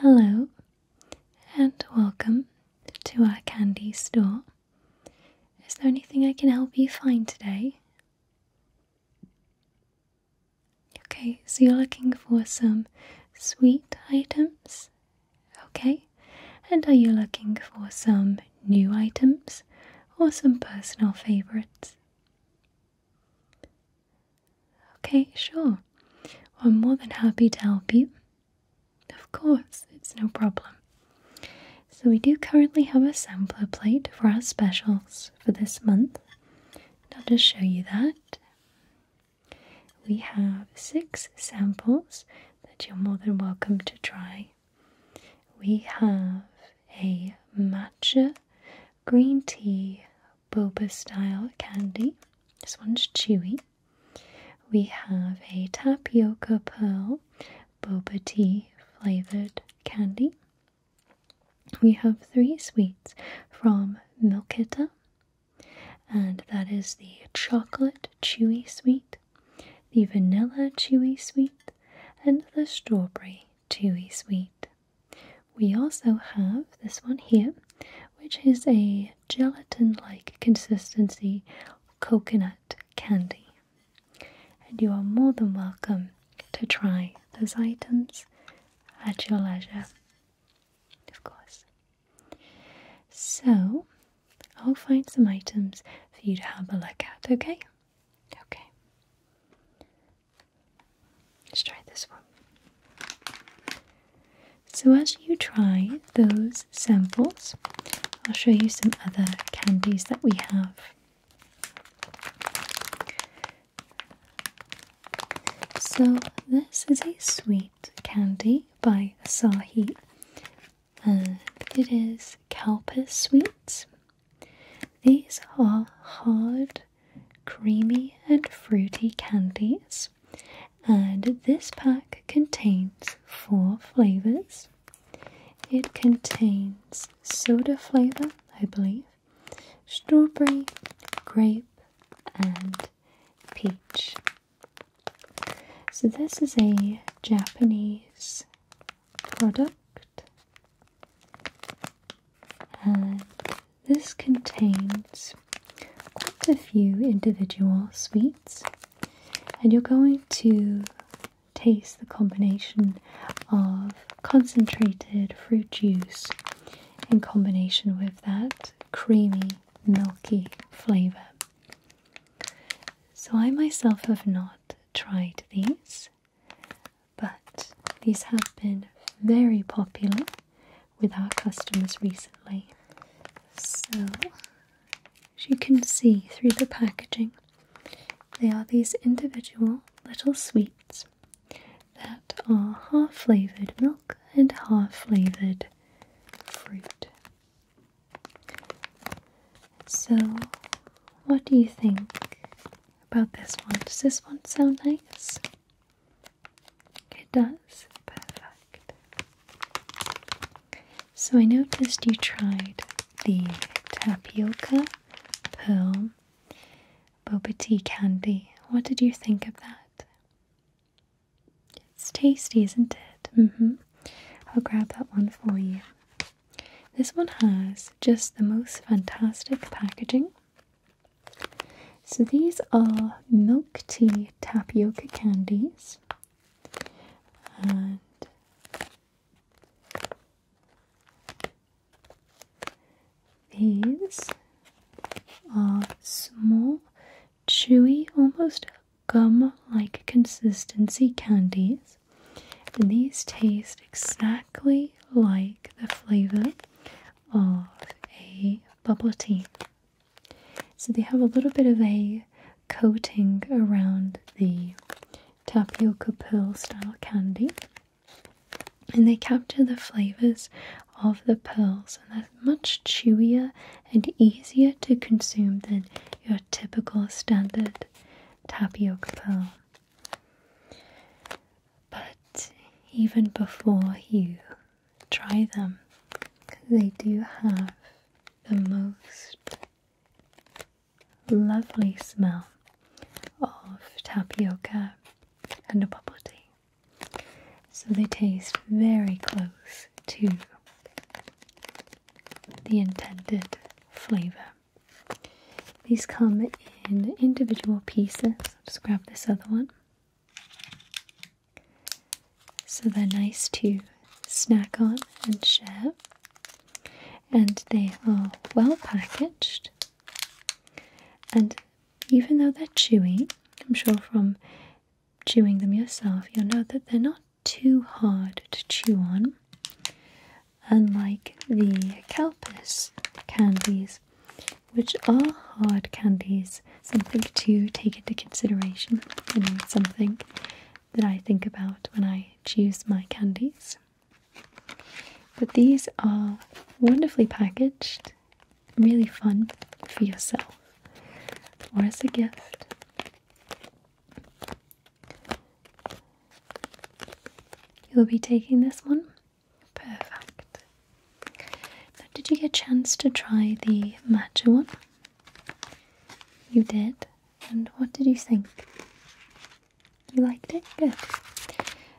Hello and welcome to our candy store. Is there anything I can help you find today? Okay, so you're looking for some sweet items? Okay, and are you looking for some new items or some personal favorites? Okay, sure. I'm more than happy to help you. Of course, it's no problem. So, we do currently have a sampler plate for our specials for this month. I'll just show you that. We have six samples that you're more than welcome to try. We have a matcha green tea boba style candy. This one's chewy. We have a tapioca pearl boba tea flavored candy. We have three sweets from Milkita, and that is the chocolate chewy sweet, the vanilla chewy sweet, and the strawberry chewy sweet. We also have this one here, which is a gelatin like consistency coconut candy. And you are more than welcome to try those items at your leisure, of course. So, I'll find some items for you to have a look at, okay? Okay. Let's try this one. So, as you try those samples, I'll show you some other candies that we have. So, this is a sweet candy by Sahi. it is Kalpis Sweets. These are hard creamy and fruity candies. And this pack contains four flavors. It contains soda flavor, I believe, strawberry, grape, and peach. So, this is a Japanese product and uh, this contains quite a few individual sweets, and you're going to taste the combination of concentrated fruit juice in combination with that creamy, milky flavour. So, I myself have not tried these, but these have been very popular with our customers recently. So, as you can see through the packaging, they are these individual little sweets that are half flavoured milk and half flavoured fruit. So, what do you think about this one? Does this one sound nice? It does. Perfect. So I noticed you tried the tapioca pearl boba tea candy. What did you think of that? It's tasty, isn't it? Mm-hmm. I'll grab that one for you. This one has just the most fantastic packaging. So these are milk tea tapioca candies, and these are small, chewy, almost gum like consistency candies. And these taste exactly like the flavor of a bubble tea. So they have a little bit of a coating around the tapioca pearl style candy. And they capture the flavors of the pearls, and they're much chewier and easier to consume than your typical standard tapioca pearl. But even before you try them. They do have the most lovely smell of tapioca and a bubble tea. So they taste very close to the intended flavour. These come in individual pieces. I'll just grab this other one. So they're nice to snack on and share. And they are well packaged. And even though they're chewy, I'm sure from chewing them yourself, you'll know that they're not too hard to chew on. Unlike the Kelpis candies, which are hard candies. Something to take into consideration and something that I think about when I choose my candies. But these are wonderfully packaged, really fun for yourself or as a gift. You'll be taking this one Perfect. did you get a chance to try the matcha one? You did. And what did you think? You liked it? Good.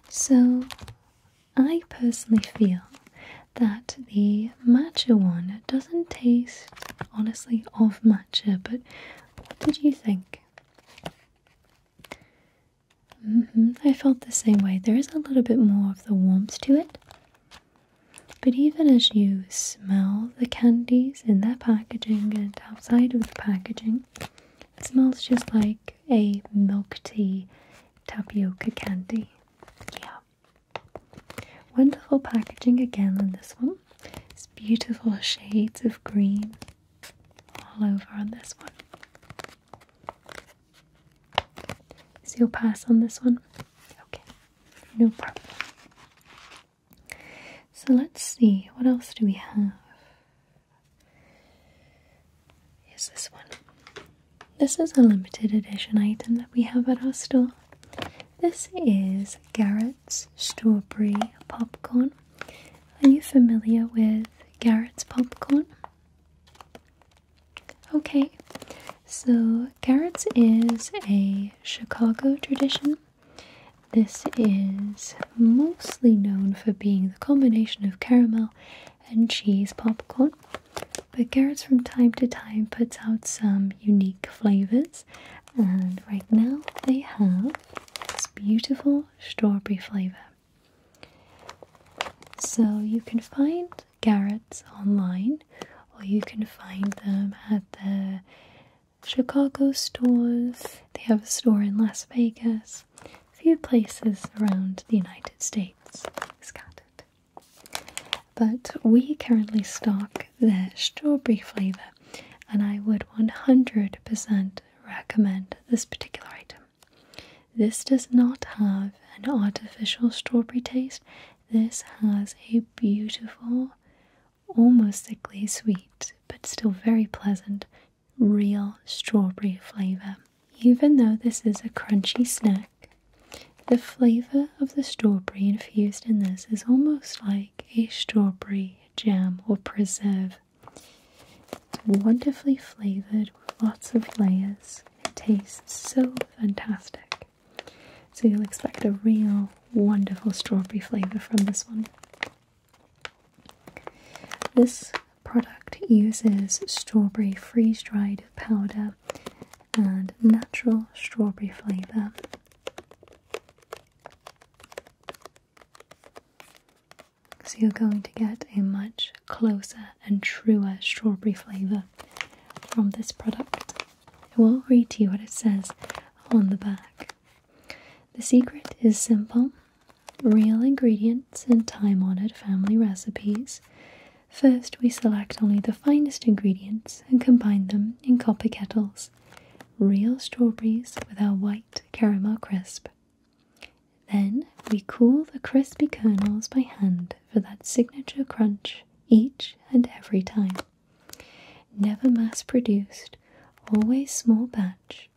So, I personally feel that the matcha one doesn't taste honestly of matcha, but what did you think? Mm-hmm. I felt the same way. There is a little bit more of the warmth to it. But even as you smell the candies in their packaging and outside of the packaging, it smells just like a milk tea tapioca candy. Yeah. Wonderful packaging again on this one. It's beautiful shades of green all over on this one. So you'll pass on this one? Okay, no problem. So let's see, what else do we have? Is this one. This is a limited edition item that we have at our store. This is Garrett's Strawberry Popcorn. Are you familiar with Garrett's Popcorn? Okay, so carrots is a Chicago tradition. This is mostly known for being the combination of caramel and cheese popcorn, but carrots from time to time puts out some unique flavors. And right now they have this beautiful strawberry flavor. So you can find Garrett's online, or you can find them at the Chicago stores. They have a store in Las Vegas, a few places around the United States. scattered. But we currently stock their strawberry flavor, and I would 100% recommend this particular item. This does not have an artificial strawberry taste. This has a beautiful, almost sickly sweet, but still very pleasant, real strawberry flavour. Even though this is a crunchy snack, the flavour of the strawberry infused in this is almost like a strawberry jam or preserve. Wonderfully flavoured with lots of layers. It tastes so fantastic. So you'll expect a real wonderful strawberry flavor from this one. This product uses strawberry freeze dried powder and natural strawberry flavor. So you're going to get a much closer and truer strawberry flavor from this product. I will read to you what it says on the back. The secret is simple real ingredients and time honored family recipes. First, we select only the finest ingredients and combine them in copper kettles. Real strawberries with our white caramel crisp. Then we cool the crispy kernels by hand for that signature crunch each and every time. Never mass produced, always small batch,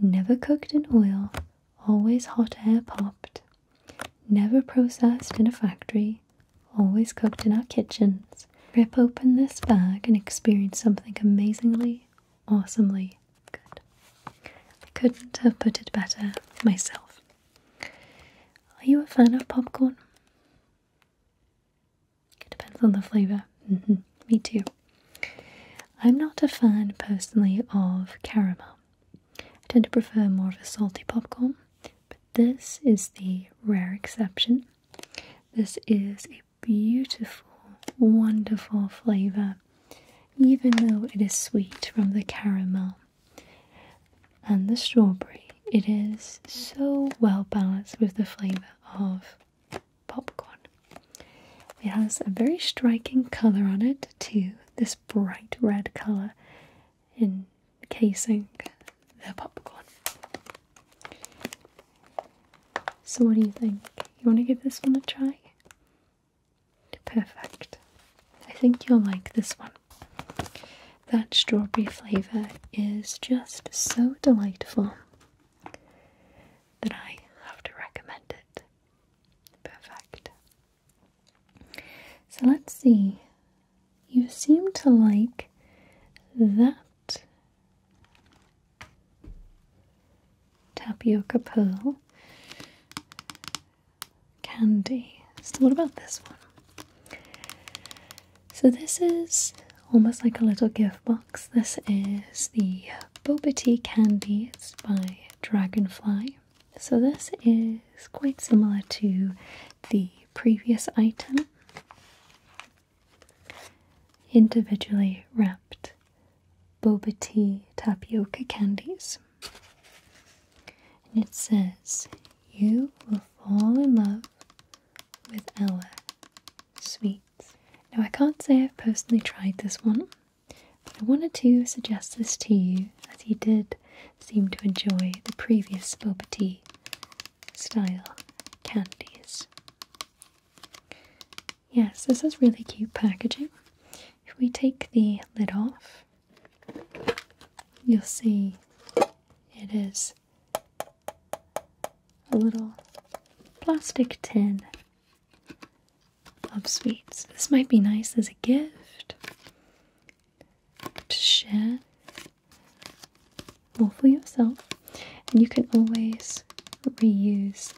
never cooked in oil, always hot air popped, never processed in a factory, always cooked in our kitchens. Rip open this bag and experience something amazingly, awesomely good. I couldn't have put it better myself. Are you a fan of popcorn? It depends on the flavour. Mm-hmm. Me too. I'm not a fan personally of caramel. I tend to prefer more of a salty popcorn, but this is the rare exception. This is a beautiful, wonderful flavour, even though it is sweet from the caramel and the strawberry. It is so well balanced with the flavour of popcorn. It has a very striking colour on it, too, this bright red colour encasing the popcorn. So, what do you think? You want to give this one a try? Perfect. I think you'll like this one. That strawberry flavour is just so delightful that I have to recommend it. Perfect. So let's see. You seem to like that tapioca pearl candy. So, what about this one? So, this is almost like a little gift box. This is the Boba Tea Candy. by Dragonfly. So, this is quite similar to the previous item. Individually wrapped boba tea tapioca candies. And it says, You will fall in love with Ella sweets. Now, I can't say I've personally tried this one, but I wanted to suggest this to you as you did seem to enjoy the previous boba tea style candies. Yes, this is really cute packaging. If we take the lid off, you'll see it is a little plastic tin of sweets. This might be nice as a gift to share or for yourself. And you can always reuse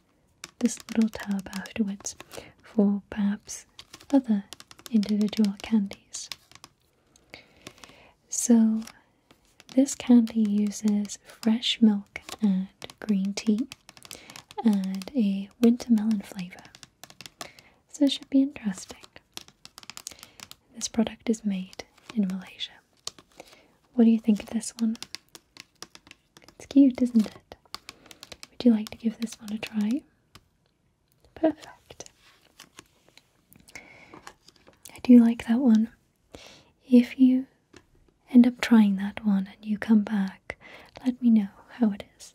this little tub afterwards for perhaps other individual candies. So, this candy uses fresh milk and green tea and a wintermelon flavor. So, it should be interesting. This product is made in Malaysia. What do you think of this one? It's cute, isn't it? Would you like to give this one a try? Perfect. I do like that one. If you end up trying that one and you come back, let me know how it is.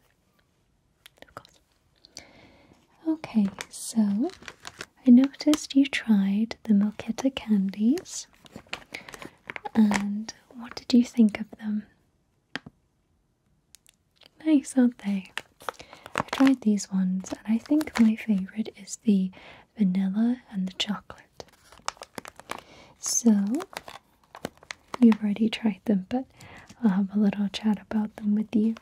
Okay, so I noticed you tried the Milkita candies. And what did you think of them? Nice, aren't they? I tried these ones, and I think my favorite is the vanilla and the chocolate. So, you've already tried them, but I'll have a little chat about them with you.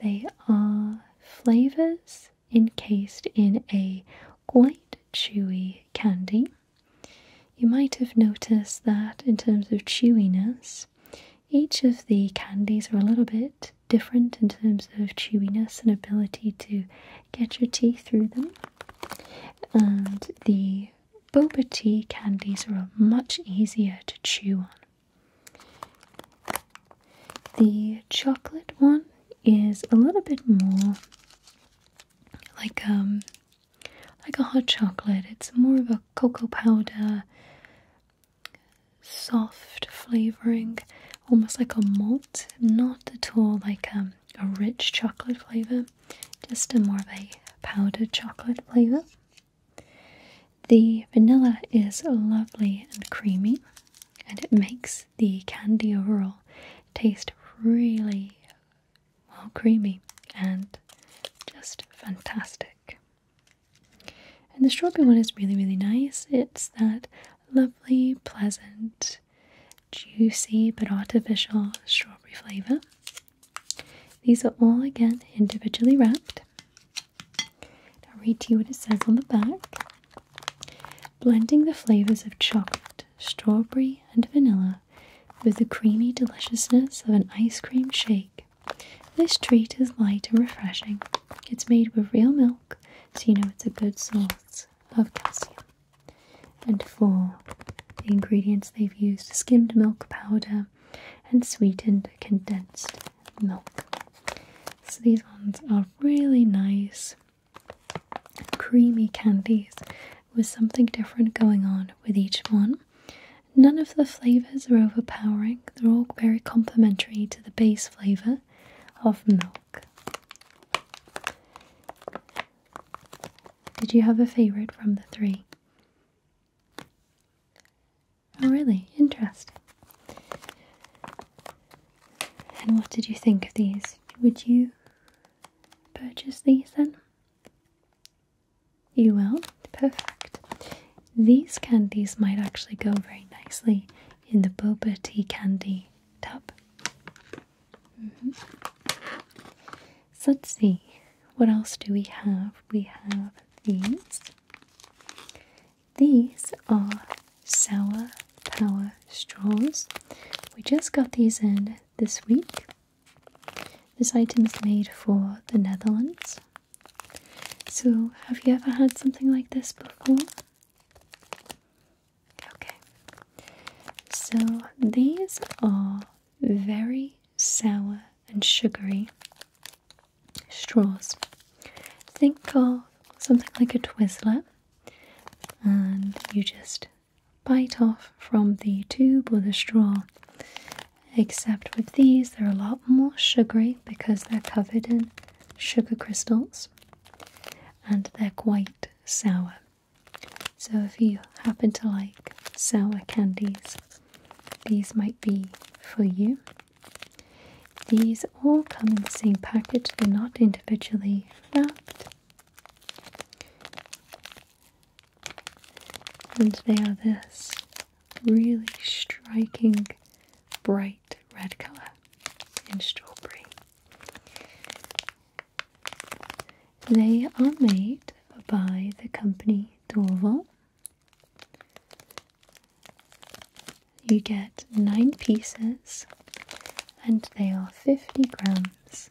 They are flavors encased in a quite chewy candy you might have noticed that in terms of chewiness, each of the candies are a little bit different in terms of chewiness and ability to get your teeth through them. And the boba tea candies are much easier to chew on. The chocolate one is a little bit more like um like a hot chocolate. It's more of a cocoa powder, soft flavoring, almost like a malt, not at all like um, a rich chocolate flavor, just more of a powdered chocolate flavor. The vanilla is lovely and creamy, and it makes the candy overall taste really well, creamy and just fantastic. And the strawberry one is really, really nice. It's that lovely, pleasant, juicy but artificial strawberry flavour. These are all again individually wrapped. I'll read to you what it says on the back. Blending the flavours of chocolate, strawberry, and vanilla with the creamy deliciousness of an ice cream shake this treat is light and refreshing. It's made with real milk, so you know it's a good source of calcium. And for the ingredients they've used skimmed milk powder and sweetened condensed milk. So these ones are really nice, creamy candies with something different going on with each one. None of the flavours are overpowering, they're all very complementary to the base flavour of milk. Did you have a favourite from the three? Oh, really? Interesting. And what did you think of these? Would you purchase these then? You will? Perfect. These candies might actually go very nicely in the boba tea candy tub. Mm-hmm. So let's see, what else do we have? We have these. These are sour power straws. We just got these in this week. This item is made for the Netherlands. So, have you ever had something like this before? Okay. So, these are very sour and sugary straws. Think of something like a Twizzler, and you just bite off from the tube or the straw Except with these, they're a lot more sugary because they're covered in sugar crystals and they're quite sour. So, if you happen to like sour candies, these might be for you. These all come in the same package, they're not individually wrapped. And they are this really striking bright red color in strawberry. They are made by the company Dorval. You get nine pieces and they are 50 grams.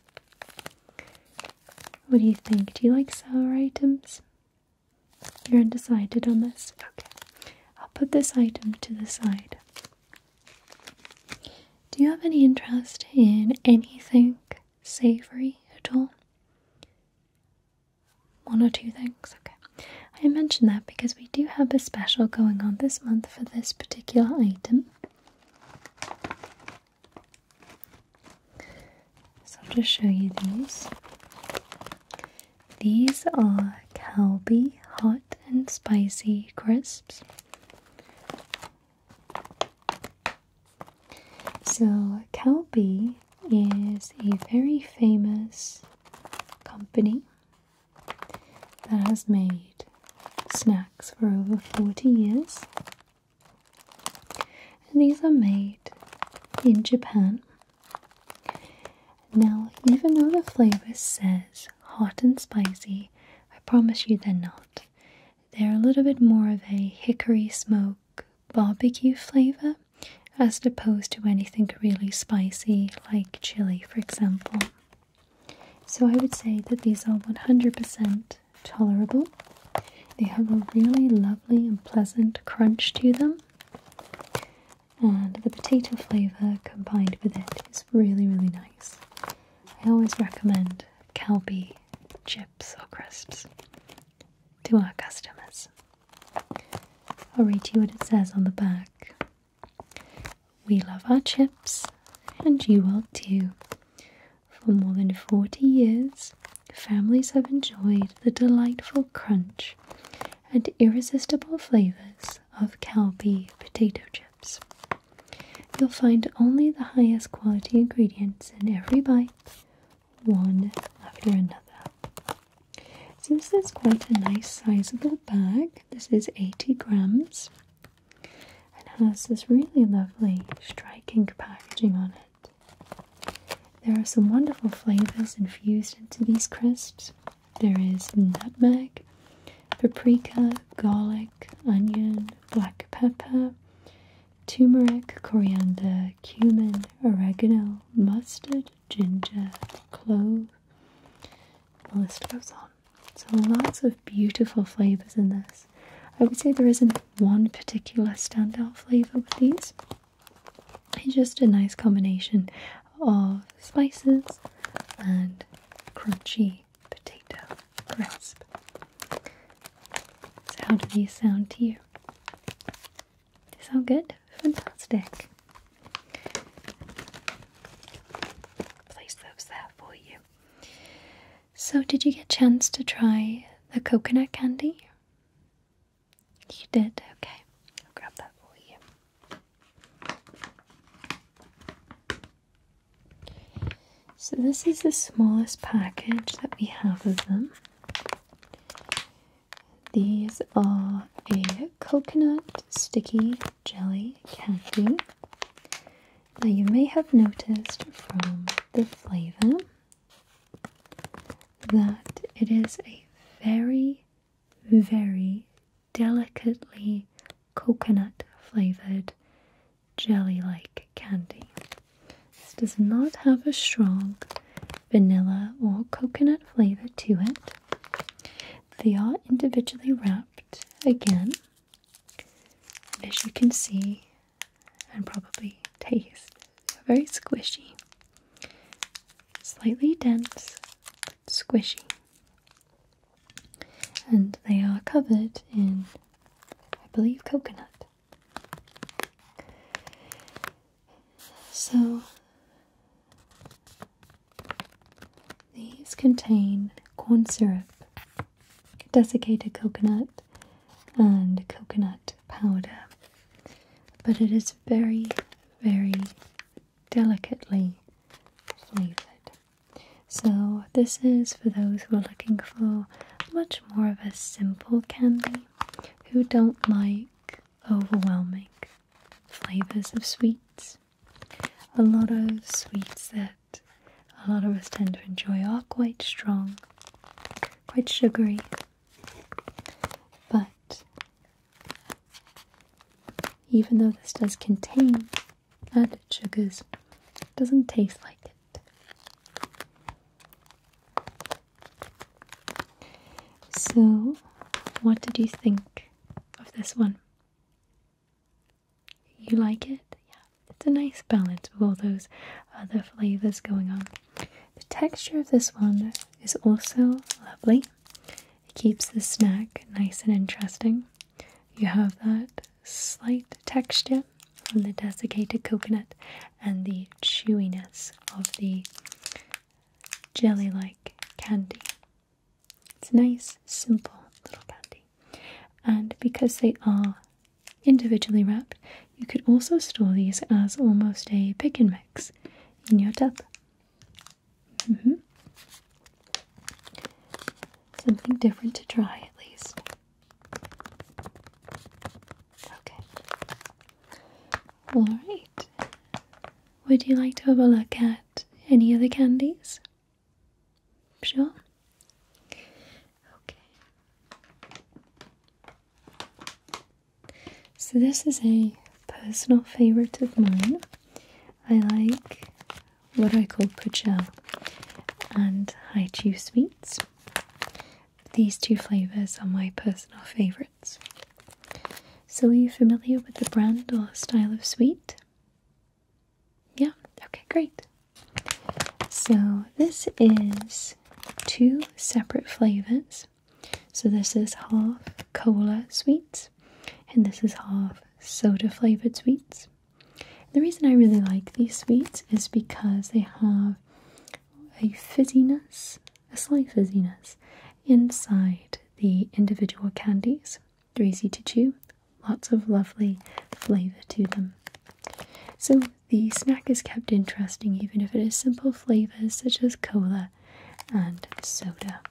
What do you think? Do you like sour items? You're undecided on this? Okay. I'll put this item to the side. Do you have any interest in anything savory at all? One or two things? Okay. I mentioned that because we do have a special going on this month for this particular item. So I'll just show you these. These are Calbee hot and spicy crisps. So Calbee is a very famous company that has made snacks for over 40 years and these are made in Japan. Now, even though the flavor says hot and spicy, I promise you they're not. They're a little bit more of a hickory smoke barbecue flavor as opposed to anything really spicy like chili, for example. So I would say that these are 100% tolerable. They have a really lovely and pleasant crunch to them, and the potato flavour combined with it is really, really nice. I always recommend Calbee chips or crisps to our customers. I'll read you what it says on the back. We love our chips, and you will too. For more than 40 years, families have enjoyed the delightful crunch and irresistible flavors of Calbee potato chips. You'll find only the highest quality ingredients in every bite, one after another. Since there's quite a nice sizable bag, this is 80 grams and has this really lovely striking packaging on it. There are some wonderful flavors infused into these crisps. There is nutmeg, paprika, garlic, onion, black pepper, turmeric, coriander, cumin, oregano, mustard, ginger, clove. The list goes on. So lots of beautiful flavors in this. I would say there isn't one particular standout flavor with these. It's just a nice combination of spices and crunchy potato crisp. So, how do these sound to you? They sound good? Fantastic. Place those there for you. So, did you get a chance to try the coconut candy? You did? Okay. I'll grab that for you. So, this is the smallest package that we have of them. These are a coconut sticky jelly candy. Now, you may have noticed from the flavor that it is a very, very delicately coconut flavored jelly like candy. This does not have a strong vanilla or coconut flavor to it. They are individually wrapped again. As you can see, and probably taste. very squishy, slightly dense, but squishy. And they are covered in, I believe, coconut. So, these contain corn syrup, desiccated coconut, and coconut powder, but it is very, very delicately flavored. So, this is for those who are looking for much more of a simple candy who don't like overwhelming flavors of sweets. A lot of sweets that a lot of us tend to enjoy are quite strong, quite sugary, but even though this does contain added sugars, it doesn't taste like it. So, what did you think of this one? You like it? Yeah, it's a nice balance with all those other flavors going on. The texture of this one is also lovely. It keeps the snack nice and interesting. You have that slight texture from the desiccated coconut and the chewiness of the jelly like candy. It's nice, simple little candy. And because they are individually wrapped. You could also store these as almost a pick and mix in your tub. Mm-hmm. Something different to try, at least. Okay. Alright. Would you like to have a look at any other candies? Sure? Okay. So, this is a personal favorite of mine. I like what I call Puchel and Haichu sweets. These two flavors are my personal favorites. So, are you familiar with the brand or style of sweet? Yeah, okay, great. So, this is two separate flavors. So this is half cola sweets and this is half soda flavored sweets. The reason I really like these sweets is because they have a fizziness, a slight fizziness inside the individual candies. They're easy to chew, lots of lovely flavor to them. So the snack is kept interesting even if it is simple flavors such as cola and soda.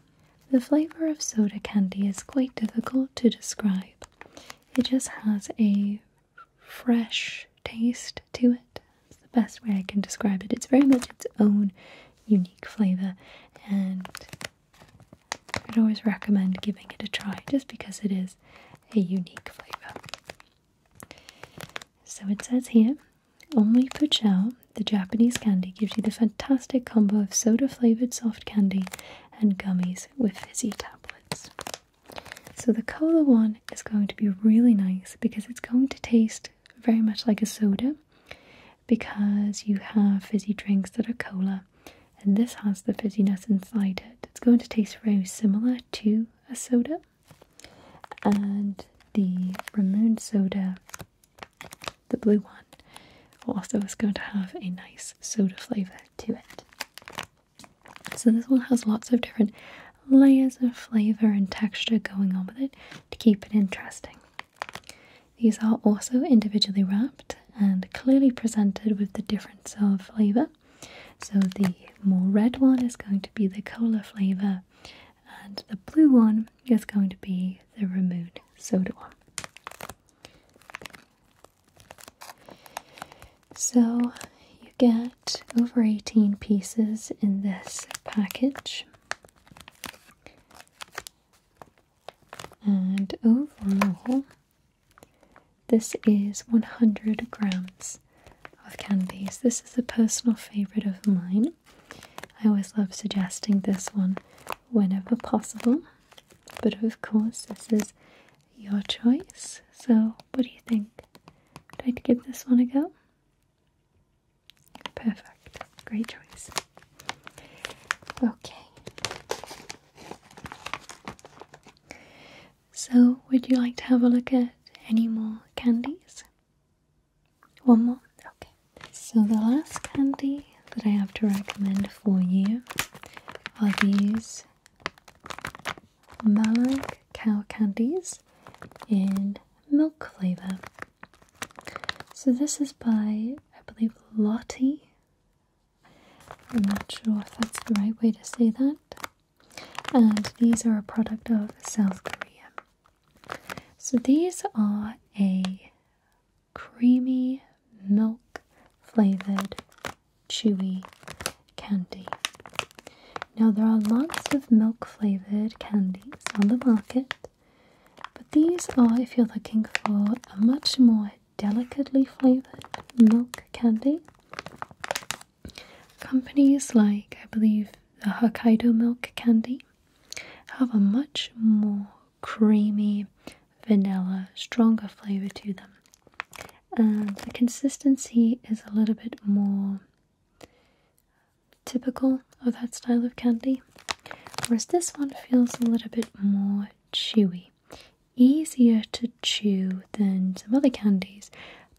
The flavor of soda candy is quite difficult to describe. It just has a fresh taste to it. It's the best way I can describe it. It's very much its own unique flavor and I'd always recommend giving it a try just because it is a unique flavor. So it says here only Puchao, the Japanese candy, gives you the fantastic combo of soda flavored soft candy and gummies with fizzy tablets. So the cola one is going to be really nice because it's going to taste very much like a soda because you have fizzy drinks that are cola and this has the fizziness inside it. It's going to taste very similar to a soda, and the Ramune soda, the blue one, also is going to have a nice soda flavour to it. So this one has lots of different layers of flavour and texture going on with it to keep it interesting. These are also individually wrapped and clearly presented with the difference of flavour so the more red one is going to be the cola flavor, and the blue one is going to be the Ramoon soda one. So you get over 18 pieces in this package. And overall, this is 100 grams of candies. This is a personal favourite of mine. I always love suggesting this one whenever possible, but of course, this is your choice. So, what do you think? Do I give this one a go? Perfect, great choice. Okay. So, would you like to have a look at any more candies? One more? Okay. So, the last candy that I have to recommend for you are these Malag cow candies in milk flavour. So, this is by, I believe, Lottie. I'm not sure if that's the right way to say that and these are a product of South Korea. So these are a creamy milk flavored chewy candy. Now there are lots of milk flavored candies on the market, but these are if you're looking for a much more delicately flavored milk candy. Companies like, I believe, the Hokkaido Milk Candy have a much more creamy vanilla, stronger flavor to them. And the consistency is a little bit more typical of that style of candy, whereas this one feels a little bit more chewy, easier to chew than some other candies,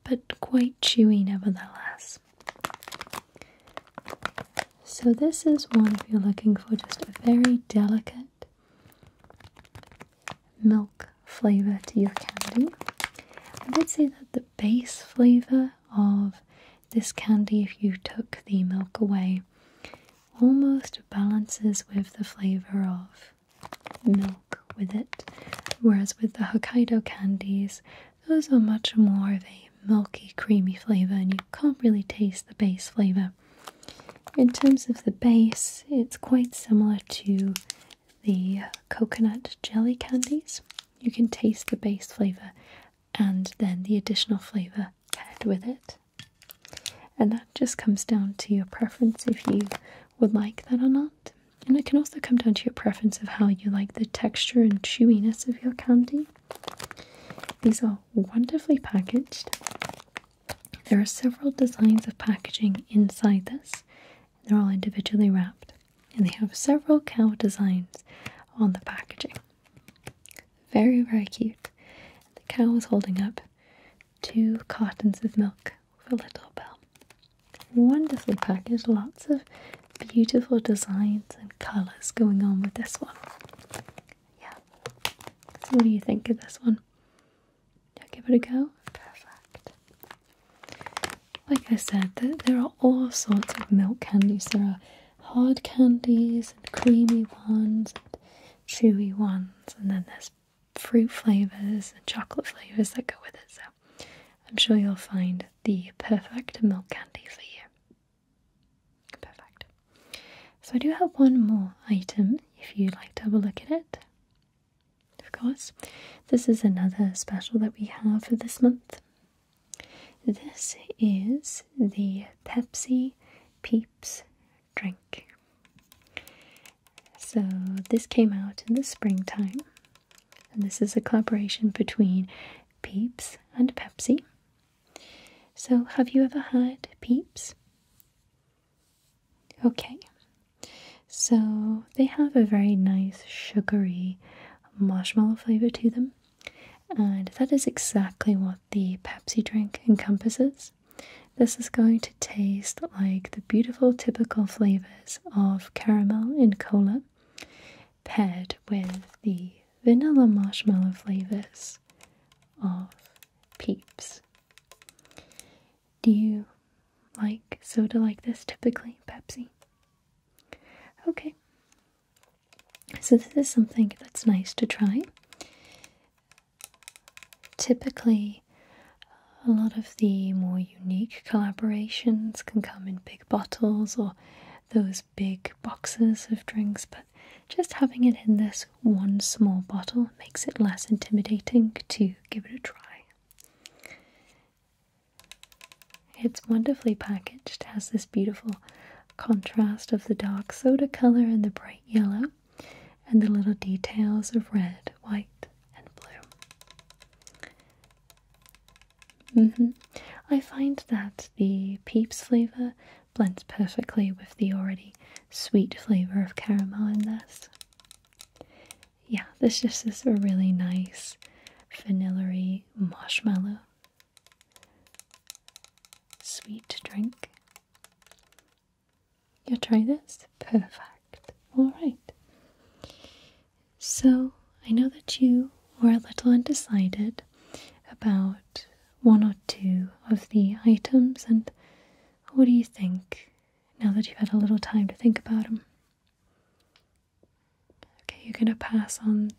but quite chewy nevertheless. So, this is one if you're looking for just a very delicate milk flavor to your candy. I would say that the base flavor of this candy, if you took the milk away, almost balances with the flavor of milk with it. Whereas with the Hokkaido candies, those are much more of a milky, creamy flavor, and you can't really taste the base flavor. In terms of the base, it's quite similar to the coconut jelly candies. You can taste the base flavor and then the additional flavor paired with it. And that just comes down to your preference if you would like that or not. And it can also come down to your preference of how you like the texture and chewiness of your candy. These are wonderfully packaged. There are several designs of packaging inside this. They're all individually wrapped and they have several cow designs on the packaging. Very, very cute. The cow is holding up two cartons of milk with a little bell. Wonderfully packaged, lots of beautiful designs and colours going on with this one. Yeah. what do you think of this one? Yeah, give it a go. Perfect. Like I said, there, there are all sorts of milk candies. There are hard candies and creamy ones and chewy ones, and then there's fruit flavours and chocolate flavours that go with it. So I'm sure you'll find the perfect milk candy for you. Perfect. So I do have one more item if you'd like to have a look at it. Of course, this is another special that we have for this month. This is the Pepsi Peeps drink. So, this came out in the springtime and this is a collaboration between Peeps and Pepsi. So, have you ever had Peeps? Okay, so they have a very nice sugary marshmallow flavour to them, and that is exactly what the Pepsi drink encompasses. This is going to taste like the beautiful typical flavours of caramel in cola, paired with the vanilla marshmallow flavors of Peeps. Do you like soda like this typically, Pepsi? Okay. So this is something that's nice to try. Typically, a lot of the more unique collaborations can come in big bottles or those big boxes of drinks, but just having it in this one small bottle makes it less intimidating to give it a try. It's wonderfully packaged, has this beautiful contrast of the dark soda colour and the bright yellow, and the little details of red, white, and blue. Mm -hmm. I find that the Peeps flavour blends perfectly with the already sweet flavour of caramel in this. Yeah, this just is a really nice vanilla marshmallow sweet drink. You'll try this? Perfect. Alright. So, I know that you were a little undecided about one or two of the items, and what do you think now that you've had a little time to think about them? Okay, you're gonna pass on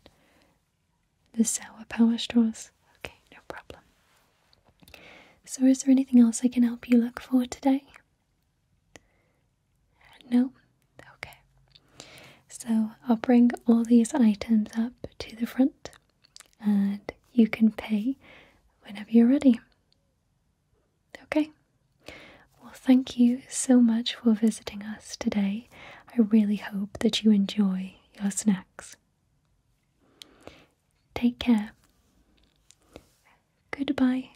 the sour power straws? Okay, no problem. So, is there anything else I can help you look for today? No? Okay. So I'll bring all these items up to the front and you can pay whenever you're ready. Okay. Well, thank you so much for visiting us today. I really hope that you enjoy your snacks. Take care. Goodbye.